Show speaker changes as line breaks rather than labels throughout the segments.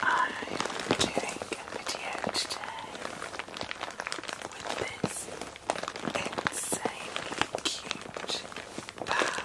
I'm doing a video today with this insanely cute bag.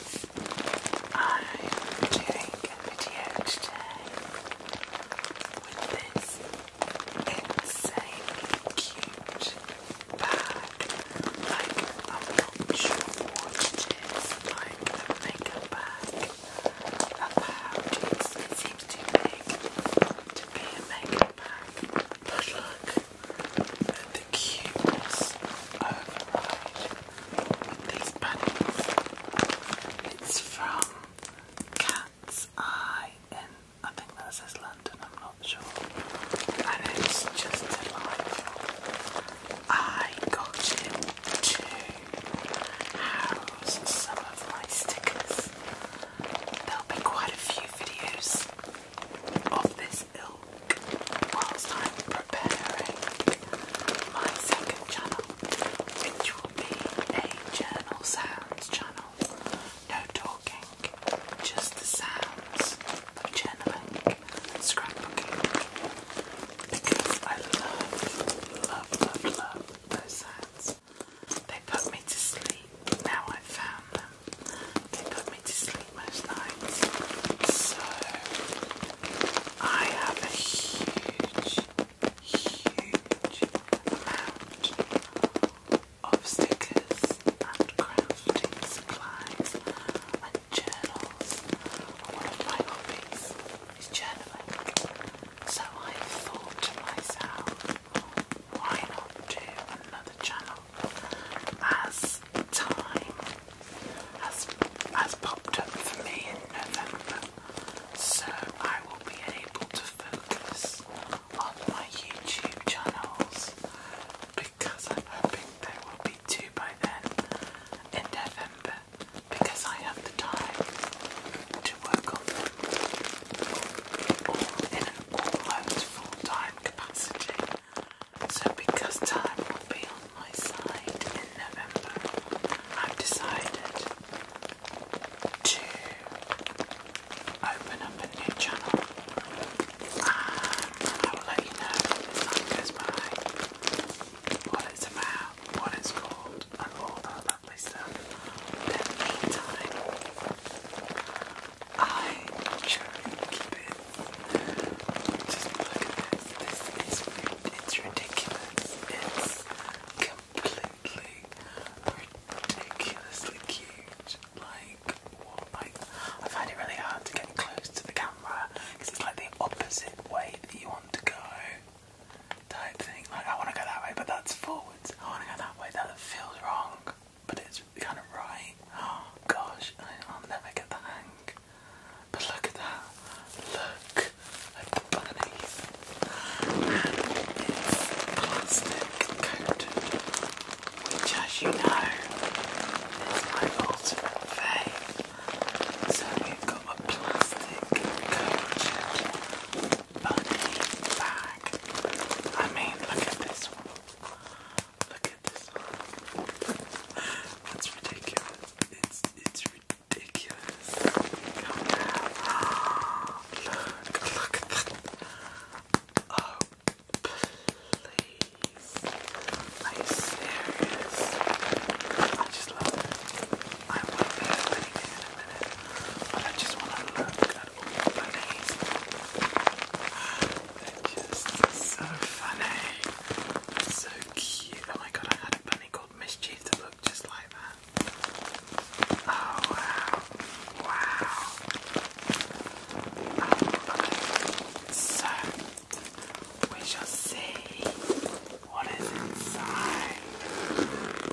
I'm doing a video today with this insane cute bag. Like, I'm not sure what it is, like a makeup bag. About it's, it seems too big to be a makeup bag. But look the cuteness override these buttons. It's from Cat's Eye in, I think that says London, I'm not sure. And it's just delightful. I got it to house some of my stickers. There'll be quite a few videos of this ilk whilst I'm preparing my second channel, which will be a journal sounds channel. No talking, just the sounds journaling scrapbooking. Because I love, love, love, love those sounds. They put me to sleep. Now I've found them. They put me to sleep most nights. So I have a huge, huge amount of stickers and crafting supplies and journals. One of my hobbies is journaling. So I thought to myself, why not do another channel as time has, popped up for me in November, so I will be able to focus on my YouTube channels because I'm hoping there will be two by then in November because I have the time to work on them all in an almost full time capacity. So, because time will be on my side in November, I've decided to open up a new channel. Um, I will let you know as time goes by what it's about, what it's called, and all that lovely stuff. in the meantime, I try keep it just look at this. it's ridiculous. It's completely ridiculously cute. Like what? Like I find it really hard to get close to the camera because it's like the opposite way that you want to go. Type thing. Like I want to go that way, but that's forwards. I want to go that way. That feels wrong, but it's kind of right. Oh gosh, I'll never get the hang. But look at that. Look. I bunnies. And it's plastic coated, which as you know is my ultimate fave. So we've got a plastic coated bunny bag. I mean look at this one. Look at this one. That's ridiculous. It's it's ridiculous. look, at that. Oh please. Are you serious? I just love it. I won't be a minute. But I just wanna look at all the bunnies. so funny. So Oh my god, I had a bunny called Mischief that looked just like that. Oh wow. Wow. So, we shall see what is Inside. Um,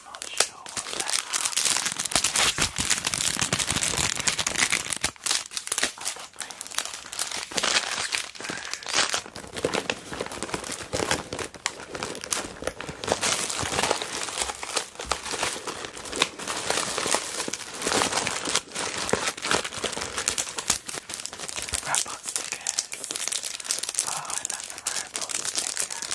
I'm not sure what that Robot stickers. Oh, I love the robot stickers.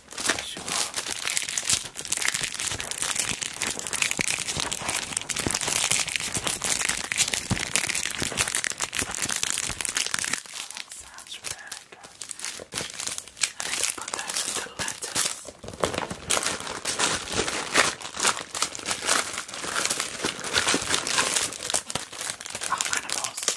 Sure. Oh, that sounds really good. I need to put those in the letters. Oh, animals. Oh, animals.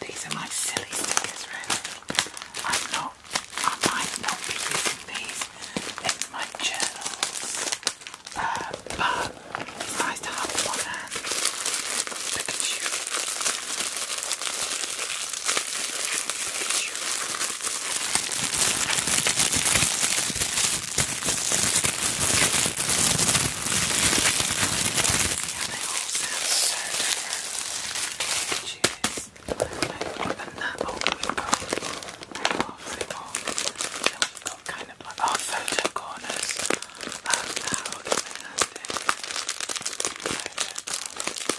These are my silly stickers, really. I'm not, I might not be using these in my journals, uh, but it's nice to have them on hand. Pikachu. Pikachu much. Yeah, they all sound so different. Cheers. I opened that old we've got half it off. Then we've got kind of like our photo corners. Oh, that would be fantastic. Photo corners.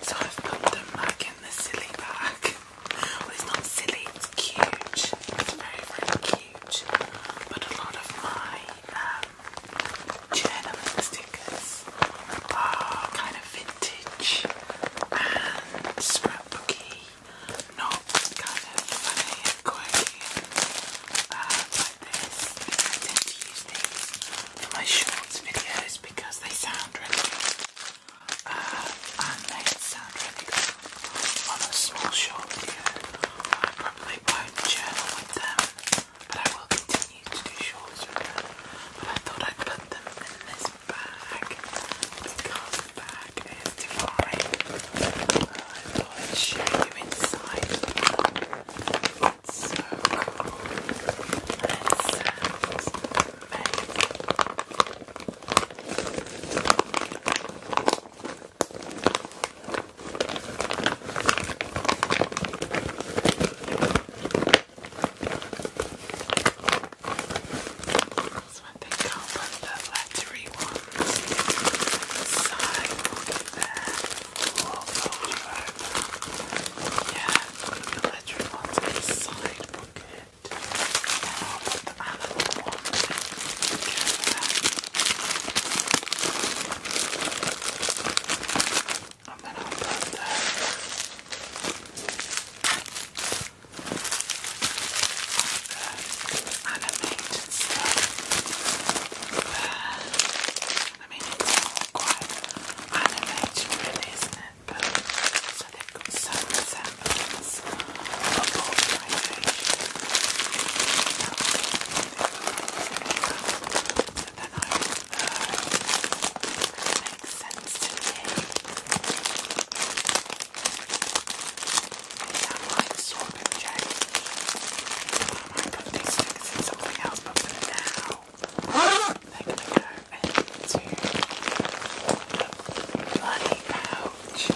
So I've put them back in the silly bag. it's not silly, it's cute. It's very, very cute. But a lot of my um, stickers are kind of vintage and scrapbooky, not kind of funny and quirky and uh, like this. I tend for my shorts videos because they sound really good. Uh, and they sound really good on a small short video. I probably won't journal with them, but I will continue to do shorts with them. But I thought I'd put them in this bag because the bag is divine. Uh, I thought I'd show you inside. That's so cool. That amazing. That's what they call the flattery ones. Side there. Yeah one of the electric ones in the side pocket. And I'll put the other one together. And then I'll put the, the animated stuff there. I mean, it's quite animated, really, isn't it? But so they've got some resemblance of organisation. So makes sense to me. Is that like swap and change? I might put these things in something else, but for now. They're gonna go into the bloody pouch. Sensational. Ah, the bloody pouch.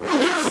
Oh, so that's good. Deal. Cool.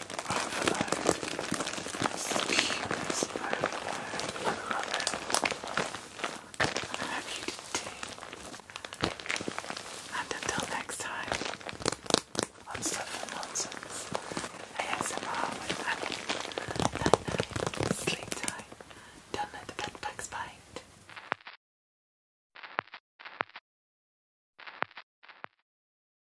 I hope you And until next time, on Stuff and Nonsense, ASMR with Annie. Night night, sleep time, don't let the bed bugs bite.